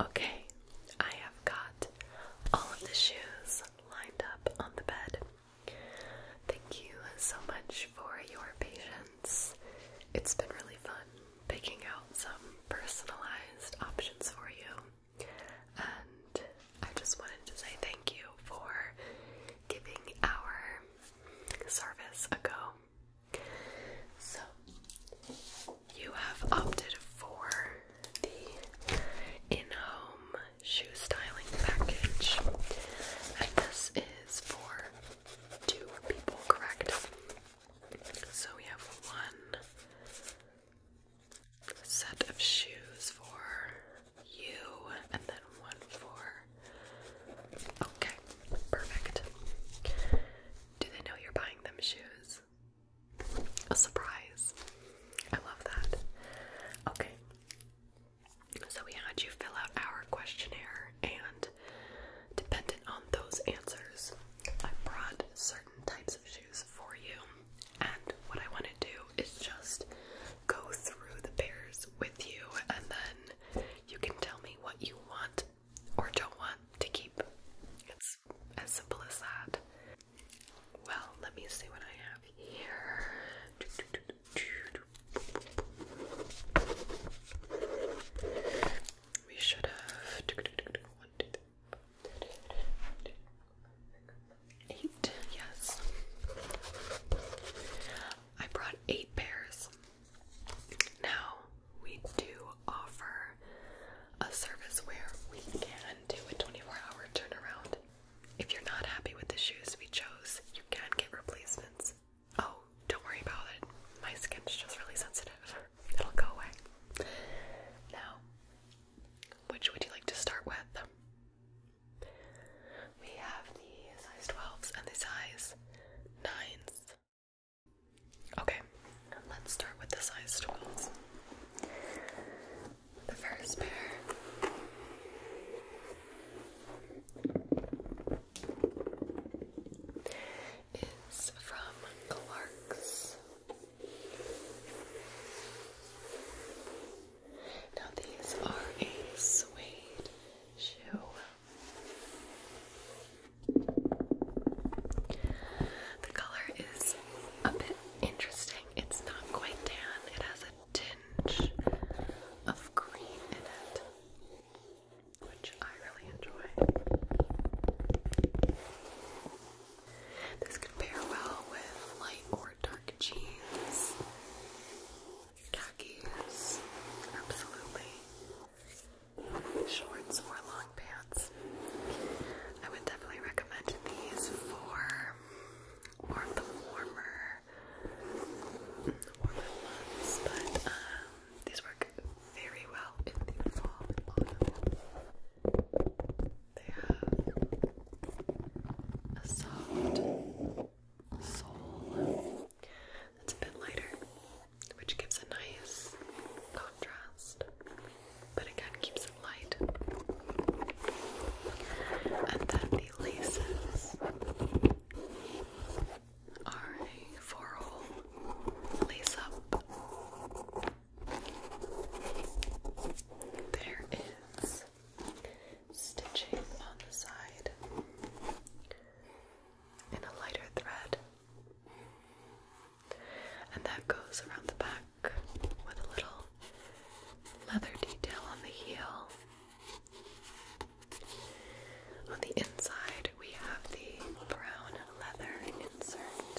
Okay, I have got all of the shoes lined up on the bed. Thank you so much for your patience. It's been really fun picking out some personalized options for you. And I just wanted to say thank you for giving our service a go. So, you have opted for the in home shoe styling package, and this is for two people, correct? So, we have one set of shoes for you, and then one for. Okay, perfect. Do they know you're buying them shoes? A surprise. I love that. Okay. So we had you fill out our questionnaire, and dependent on those answers, I brought certain types of shoes for you. And what I want to do is just go through the pairs with you, and then you can tell me what you want or don't want to keep. It's as simple as that. Well, let me see what I have here. We should have three. Eight, yes. I brought eight pairs. Now, we do offer a service where we can do a 24 hour turnaround. If you're not happy with the shoes we chose, you can get replacements. Oh, don't worry about it. My skin's just really sensitive. It'll go away. Now, which would you like to start with? We have the size 12s and the size 9s. Okay, let's start with the size 12s. The first pair is from Clark's. Now, these are a suede shoe. The color is a bit interesting. It's not quite tan. It has a tinge of green in it, which I really enjoy. This can pair well with light or dark jeans, khakis, absolutely shorts or long pants. I would definitely recommend these for more of the warmer, warmer months, but um, these work very well in the fall They have a soft sole that's a bit lighter, which gives a nice contrast, but again keeps it light. And then the laces are a four-hole lace-up. There is stitching on the side in a lighter thread. And that goes around the back with a little leather detail on the heel. On the inside, we have the brown leather insert.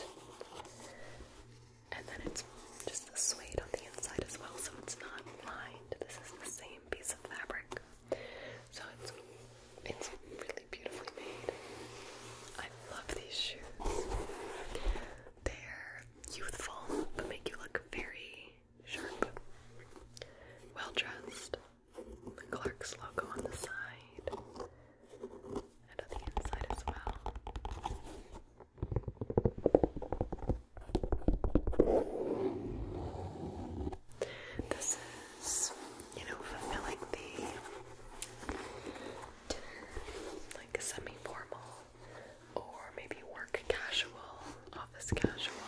And then it's just a suede on the inside as well, so it's not lined. This is the same piece of fabric. So it's it's really beautifully made. I love these shoes. They're youthful but make you look very sharp. Well dressed. The Clark's logo on the side and on the inside as well. This is, you know, fulfilling the like semi formal, or maybe work casual, office casual.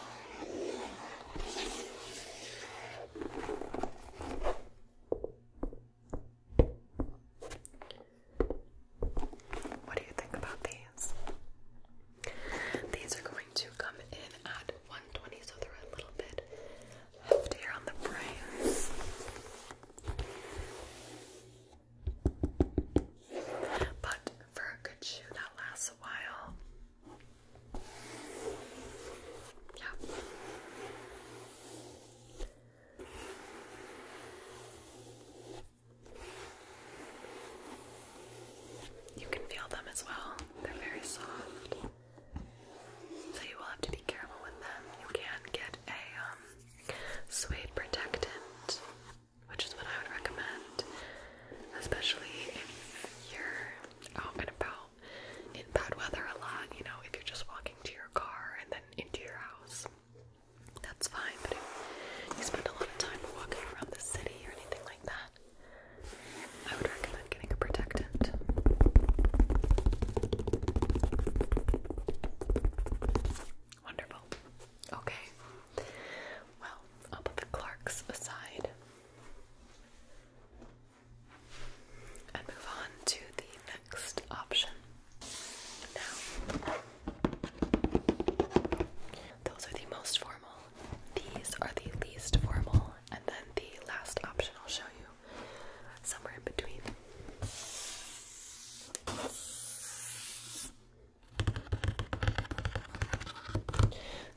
What do you think about these? These are going to come in at 120, so they're a little bit heftier on the price. But for a good shoe that lasts a while. Yeah. You can feel them as well. They're very soft. So you will have to be careful with them. You can get a um, suede protectant, which is what I would recommend, especially if you're out and about in bad weather a lot. You know, if you're just walking to your car and then into your house, that's fine. But if you spend a lot of time walking around the city or anything like that, I would recommend getting a protectant. Wonderful. Okay. Well, I'll put the Clarks aside and move on to the next option. Now, those are the most formal. These are the least formal and then the last option I'll show you somewhere in between.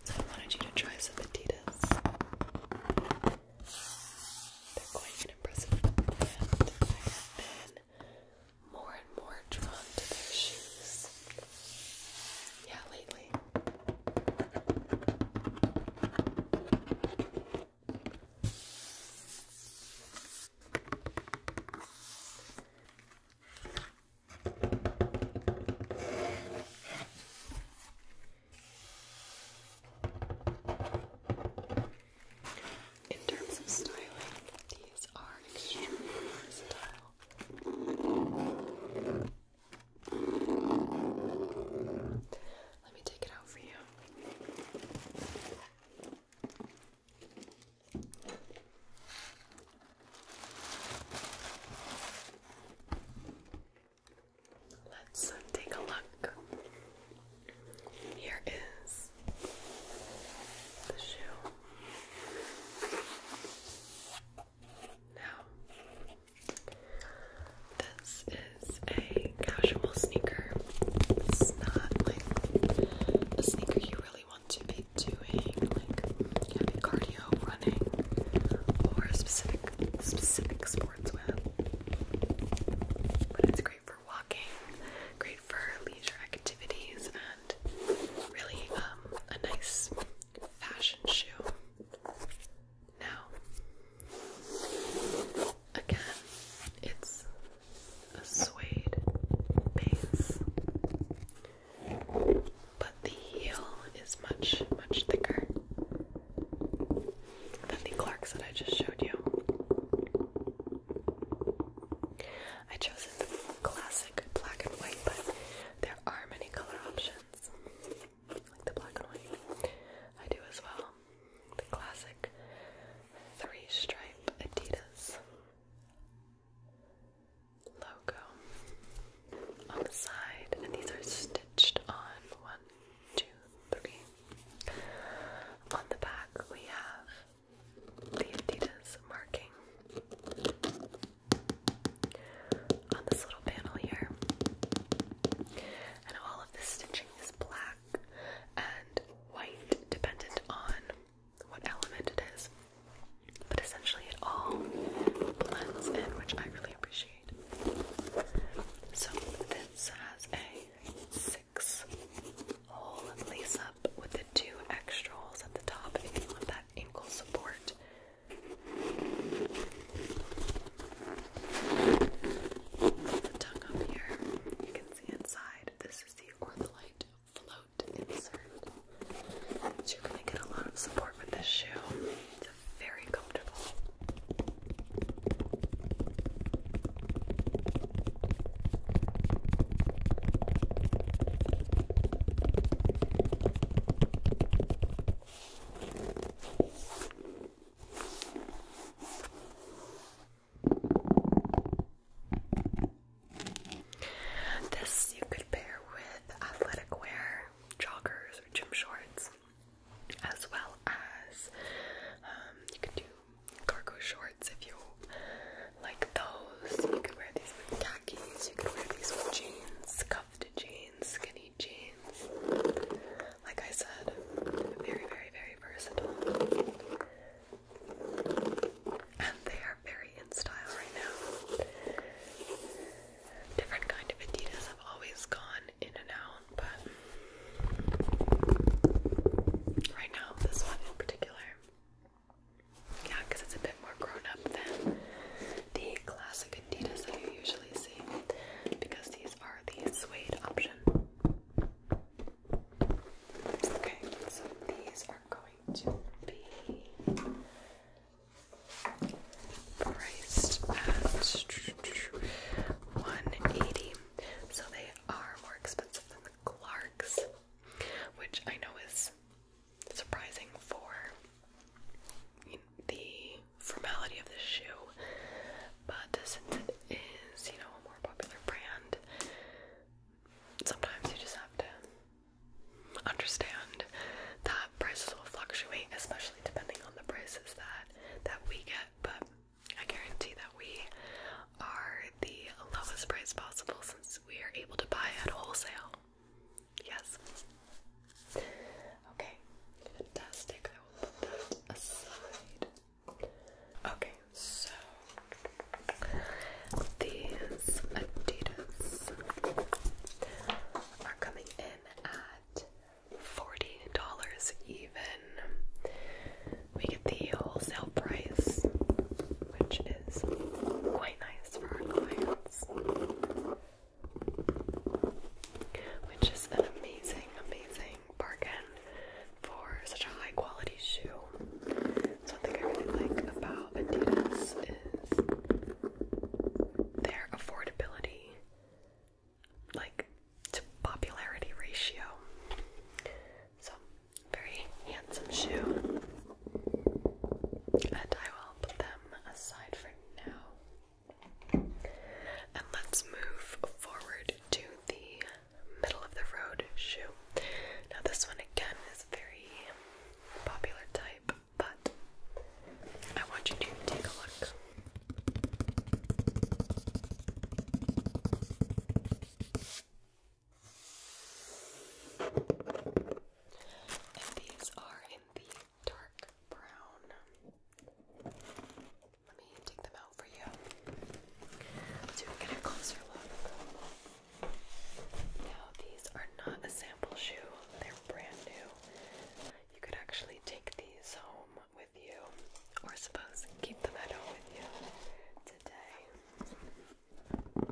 So I wanted you to try some Adidas. They're quite an impressive brand. I more and more drawn to their shoes. Yeah, lately. In terms of styling, these are extremely versatile. Let me take it out for you. Let's take a look. Here is the shoe. Now, this is a casual sneaker. It's not like a sneaker you really want to be doing, like cardio, running, or specific specific sports with. But it's great for walking, great for leisure activities, and really um, a nice fashion shoe now, again, it's a suede base, but the heel is much, much thicker than the Clarks that I just showed you. I chose the classic black and white, but there are many color options like the black and white. I do as well. The classic three stripe Adidas logo on the side, and these are stitched on one, two, three. On the back, we have the Adidas marking on this little panel here. And all of the stitching is black and white, dependent on what element it is. But essentially, it all blends in, which I really appreciate. So, this has a six hole lace up with the two extra holes at the top if you want that ankle support tongue up here. You can see inside. This is the Ortholite float insert. you're gonna get a lot of support with this shoe. It's very comfortable. This you could pair with athletic wear, joggers, or gym shorts, as well as um, you could do cargo shorts if you like those. You could wear these with you can wear these with jeans, cuffed jeans, skinny jeans. Like I said, very, very, very versatile. And they are very in style right now. Different kind of Adidas have always gone in and out, but right now, this one in particular yeah, because it's a bit more grown up than the classic Adidas that you usually see, because these are the suede option. Okay, so these are going to be priced at 180 so they are more expensive than the Clarks, which I know is surprising for the formality of this shoe, but since it is, you know, a more popular brand, sometimes you just have to understand that prices will fluctuate, especially depending on the prices that that we get. But I guarantee that we are the lowest price possible since we are able to buy at wholesale. Yes. Okay, fantastic. I will put that aside. Okay, so these Adidas are coming in at $40 even. We get the wholesale price, which is quite nice for our clients which is an amazing, amazing bargain for such a high quality shoe. one thing I really like about Adidas is their affordability, like to popularity ratio. So very handsome shoe. And I will put them aside for now. And let's move forward to the middle of the road shoe. Now, this one again is a very popular type, but I want you to take a look. And these are the dark brown. Let me take them out for you so you get a closer look. Now, these are not a sample shoe, they're brand new. You could actually take these home with you, or suppose keep them at home with you today. They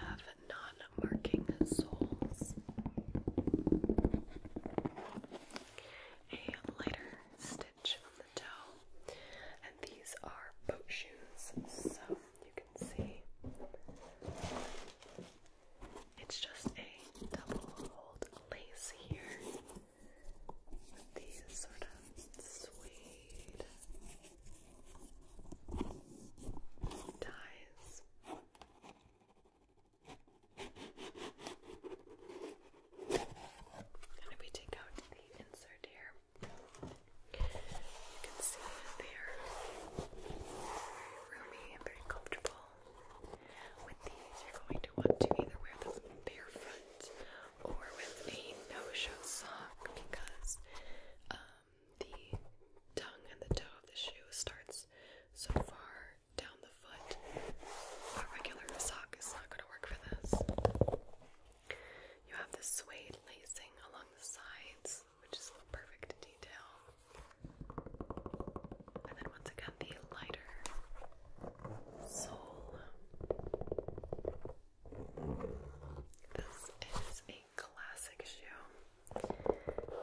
have non-marking soles, a lighter stitch on the toe, and these are boat shoes, so you can see it's just a double-holed lace here with these sort of suede ties. if we take out the insert here, you can see they are very roomy and very comfortable. With these, you're going to want to either wear them barefoot or with a no-show sock because um, the tongue and the toe of the shoe starts so far down the foot. A regular sock is not going to work for this. You have the suede lacing along the sides, which is perfect detail. And then once again, the lighter soul. This is a classic shoe.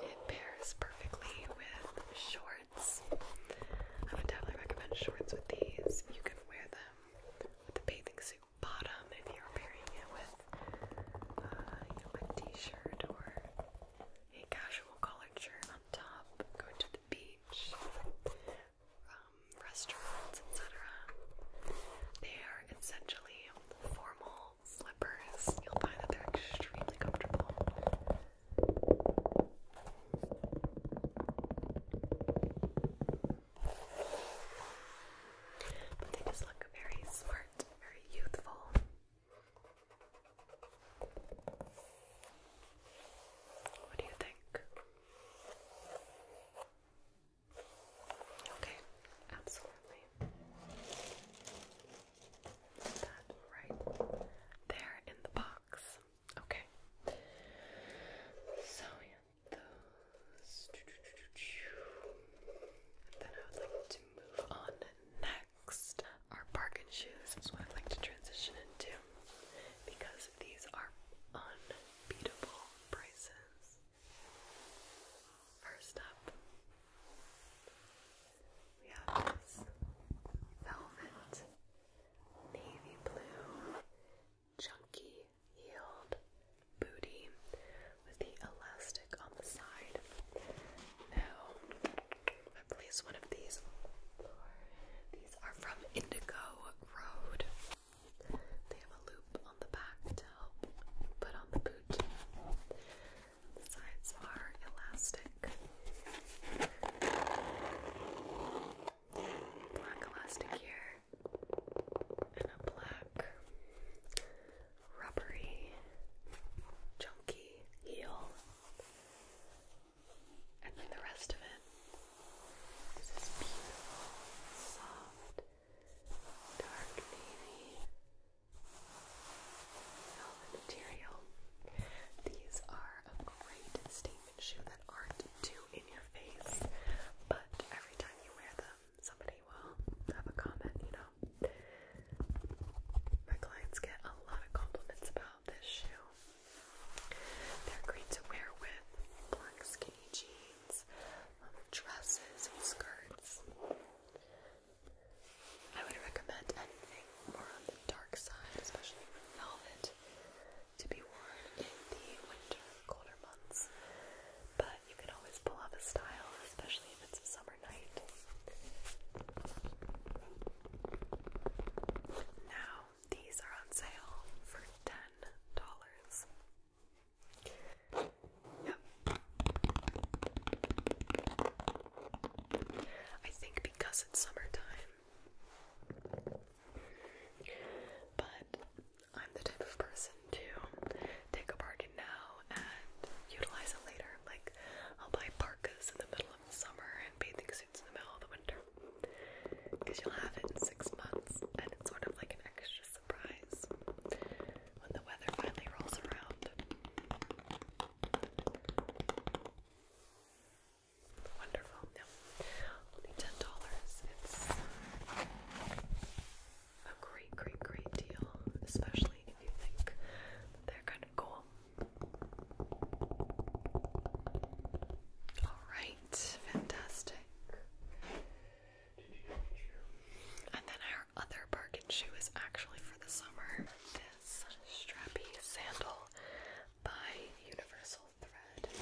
It pairs perfectly with shorts. I would definitely recommend shorts with these. You can wear them with a bathing suit bottom if you're pairing it with uh, a t-shirt or a casual collared shirt on top. Going to the beach um, restaurants, etc. They are essentially formal slippers. You'll find that they're extremely comfortable. But they just look very smart, very youthful. What do you think? Okay, absolutely. That right there in the box. Okay. So yeah, those. then I would like to move on next. Our bargain shoes is what I'd like to transition into because these are unbeatable prices. First up, we have this velvet navy blue chunky heeled booty with the elastic on the side. Now, I Place one of these on the floor. These are from Indigo Road. They have a loop on the back to help put on the boot. The sides are elastic. Black elastic here. And a black rubbery chunky heel and then the rest of it is this beautiful, soft, dark navy velvet material. These are a great statement shoe that aren't too in your face, but every time you wear them, somebody will have a comment, you know. My clients get a lot of compliments about this shoe. They're great to wear with black skinny jeans, um, dresses, skirts. I would recommend anything more on the dark side, especially velvet, to be worn in the winter, colder months. But you can always pull off a style, especially if it's a summer night. Now, these are on sale for $10. Yep. I think because it's summertime. But I'm the type of person to take a bargain now and utilize it later. Like, I'll buy parkas in the middle of the summer and bathing suits in the middle of the winter. Because you'll have it in six months, and it's sort of like an extra surprise when the weather finally rolls around. Wonderful. only ten dollars. It's a great, great, great deal, especially if you think they're kind of cool. All right, fantastic. And then our other bargain shoe is actually for the summer. This strappy sandal by Universal Thread.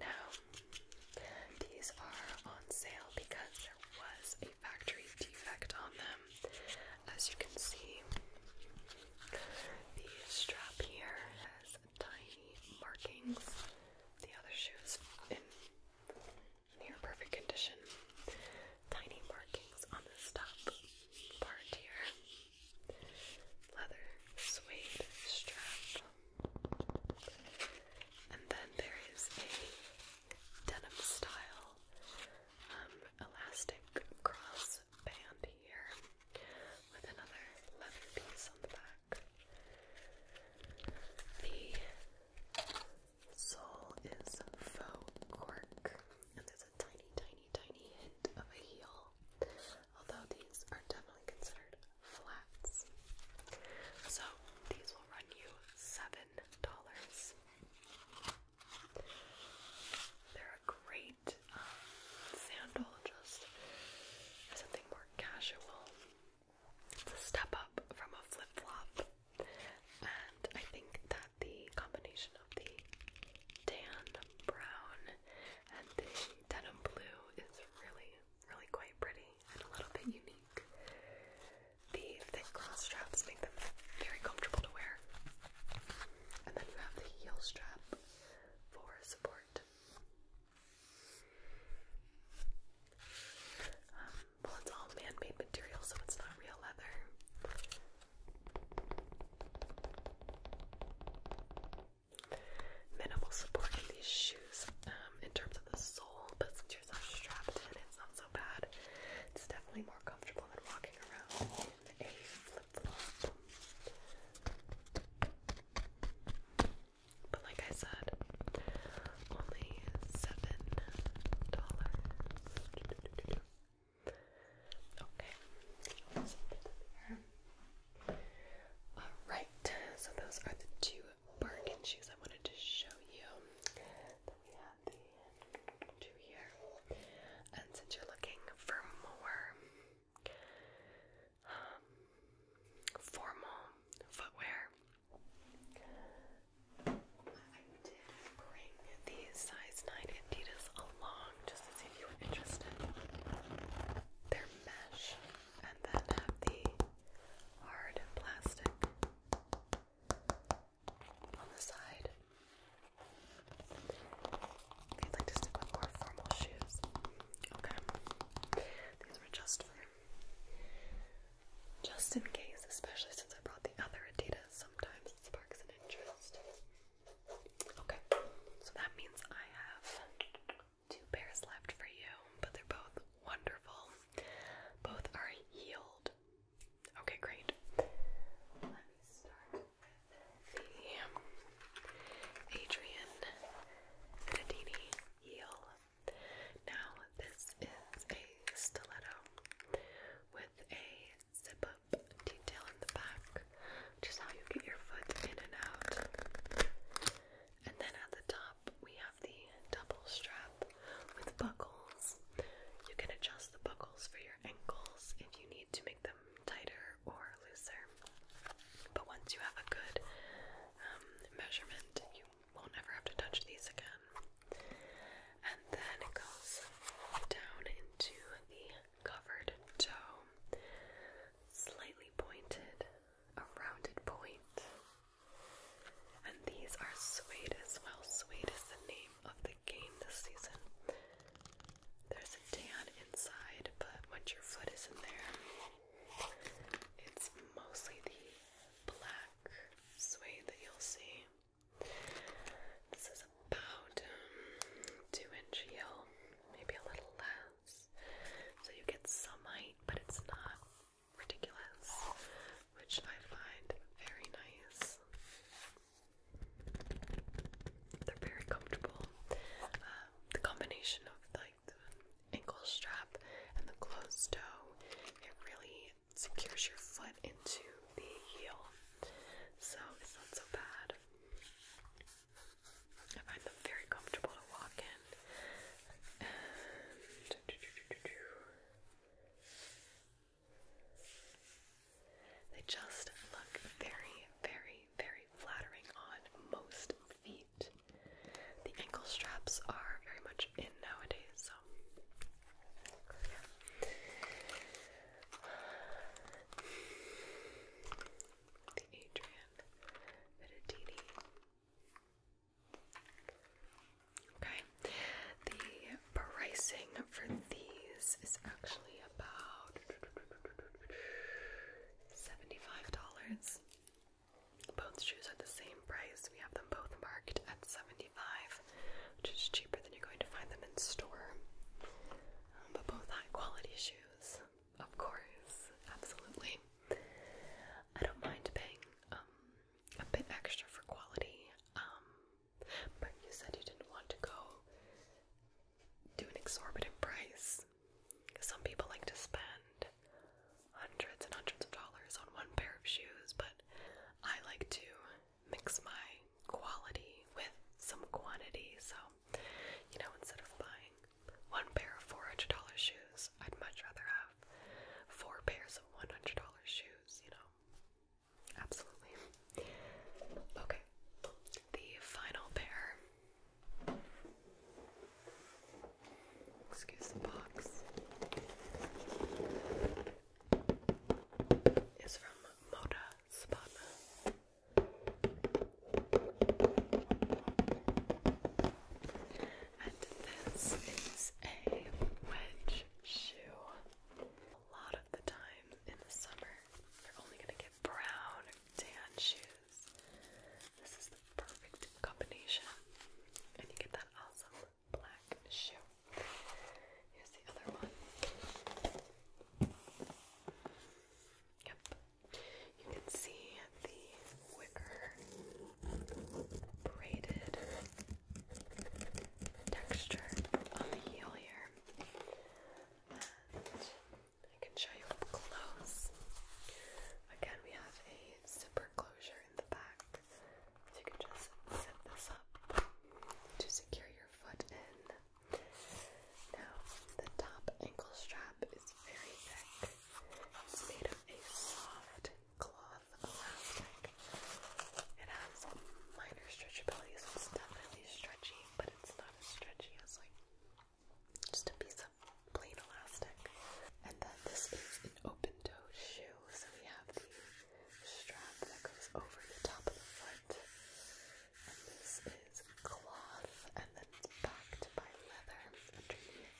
Now, these are on sale because there was a factory defect on them. As you can see, the strap here has tiny markings. The other shoe's in near perfect condition. Tiny markings on the top part here. Leather suede strap. And then there is a denim style um, elastic cross band here with another leather piece on the back. The sole is faux cork, and there's a tiny, tiny, tiny hint of a heel, although these are definitely considered flats. So these will run you $7. They're a great um, sandal, just something more casual. It's a step up from a flip flop, and I think that the combination of the tan brown and the denim blue is really, really quite pretty and a little bit unique. The thick cross straps make them very comfortable to wear. And then you have the heel strap for support. Um, well, it's all man made material, so it's not real leather. Minimal support in these shoes um, the sole, but yourself strapped in, it's not so bad. It's definitely more comfortable than walking around in a flip-flop. But like I said, only seven dollars. Okay. Alright, so those are the two bargain shoes I wanted to show you the here. And since you're looking for more um, formal footwear, I did bring these size 9 Adidas along just to see you were interested. They're mesh and then have the hard plastic on the side. I'd like to stick with more formal shoes. Okay. These were just for just in case, especially since I brought the other Adidas. Sometimes sparks an interest. Okay. So that means I have two pairs left for you, but they're both wonderful. Both are heeled Okay, great. Let me start with the Adrian Pedini heel. Now, this is a stiletto with a zip up detail in the back, which how you get your foot in and out. And then at the top, we the double strap with buckles. You can adjust the buckles for your ankles if you need to make them tighter or looser. But once you have a good um, measurement, you will never have to touch these again. And then it goes down into the covered toe, slightly pointed, a rounded point. And these are suede as well. Suede is the name of the game this season. There's a tan inside, but once your foot is in there, it's mostly the black suede that you'll see. This is about um, two inches heel, maybe a little less. So you get some height, but it's not ridiculous, which I find very nice. They're very comfortable. Um, the combination of like the ankle strap and the closed toe, it really secures your foot into the heel, so it's not so bad. I find them very comfortable to walk in, they just look very, very, very flattering on most feet. The ankle straps are very much in nowadays, so The Adrian Vitatini Okay, the pricing for these is actually about $75. Both shoes are the same price. We have them both marked at 75 which is cheaper than you're going to find them in store. Um, but both high quality shoes, of course, absolutely. I don't mind paying um, a bit extra for quality. Um, but you said you didn't want to go do an exorbitant price. Some people like to spend hundreds and hundreds of dollars on one pair of shoes, but I like to mix my quality with some quantity. So, you know, instead of buying one pair of $400 shoes, I'd much rather have four pairs of $100 shoes, you know. Absolutely. Okay, the final pair. Excuse the box. Is from Moda Spana. And this is a wedge shoe. A lot of the time in the summer, you're only going to get brown or tan shoes. This is the perfect combination. And you get that awesome black shoe. Here's the other one. Yep. You can see the wicker braided texture on the heel here. I can show you up close. Again, we have a zipper closure in the back. you can just zip this up to secure your foot in. Now, the top ankle strap is very thick. It's made of a soft cloth elastic. It has minor stretchability, so it's definitely stretchy, but it's not as stretchy as like just a piece of plain elastic. And then this is an open toe shoe, so we have the strap that goes over the top of the foot. And this is cloth, and then it's backed by leather underneath.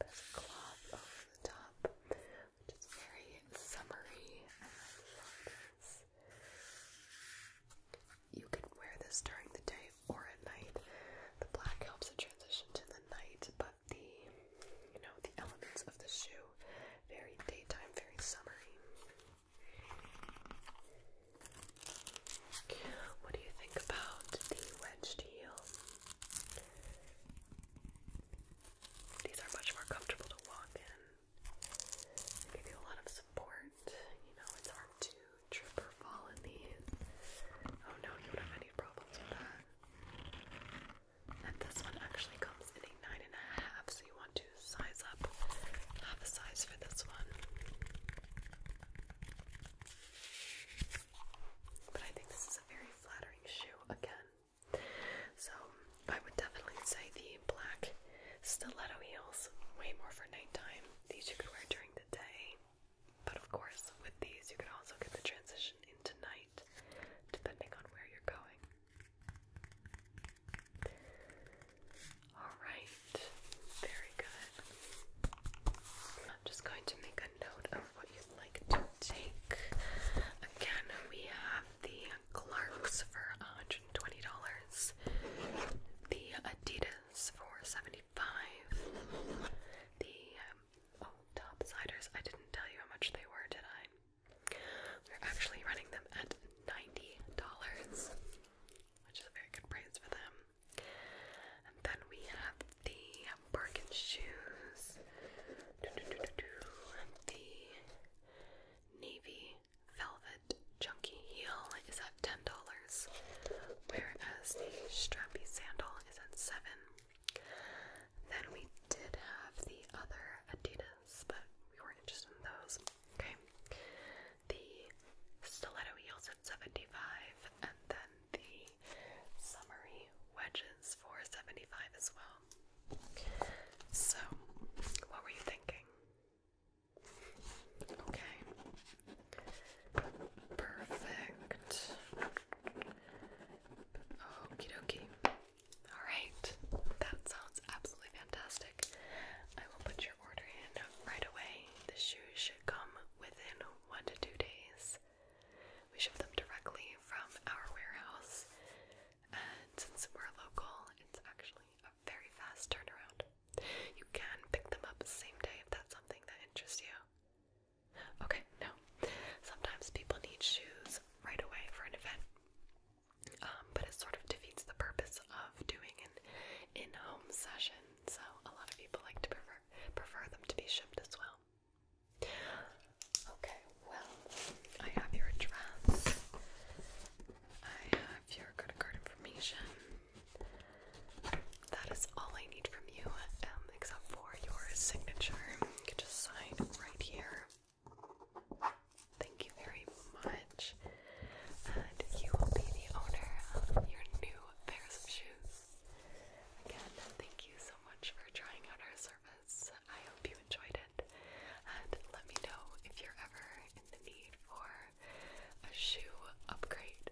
There's cloth over the top which is very summery, and I love this. You can wear this during the day or at night. The black helps the transition to the night, but the you know the elements of the shoe very daytime, very summery. What do you think about the wedged heel? These are much more comfortable to walk in. They give you a lot of support. You know, it's hard to trip or fall in these. Oh no, you don't have any problems with that. And this one actually comes in a nine and a half, so you want to size up half a size for this one. But I think this is a very flattering shoe again. So I would definitely say the black stiletto heels, way more for nighttime. These you could wear during the day, but of course, with these you could also get the transition into night, depending on where you're going. Alright, very good. I'm just going to make of what you'd like to take. Again, we have the Clarks for $120, the Adidas for $75, the um, oh, I didn't tell you how much they were, did I? We're actually running them at $90, which is a very good price for them. And then we have the Birkin shoes. The navy velvet chunky heel is at ten dollars, whereas the strappy sandal is at seven. Then we did have the other Adidas, but we weren't interested in those. Okay. The stiletto heels at seventy-five, and then the summary wedges for 75 as well. So, what were you thinking? Okay. Perfect. Okie dokie. Alright. That sounds absolutely fantastic. I will put your order in right away. The shoes should come within one to two days. We ship them directly from our warehouse, and since we're local, it's actually a very fast turnaround. You can pick them up the same day if that's something that interests you. Okay, no. Sometimes people need shoes right away for an event, um, but it sort of defeats the purpose of doing an in-home session. So a lot of people like to prefer prefer them to be shipped as well. Okay, well, I have your address. I have your credit card information. That is all I need from you, um, except for your signature. just sign right here. Thank you very much. And you will be the owner of your new pairs of shoes. Again, thank you so so much for trying out our service. I hope you enjoyed it. And let me know if you're ever in the need for a shoe upgrade.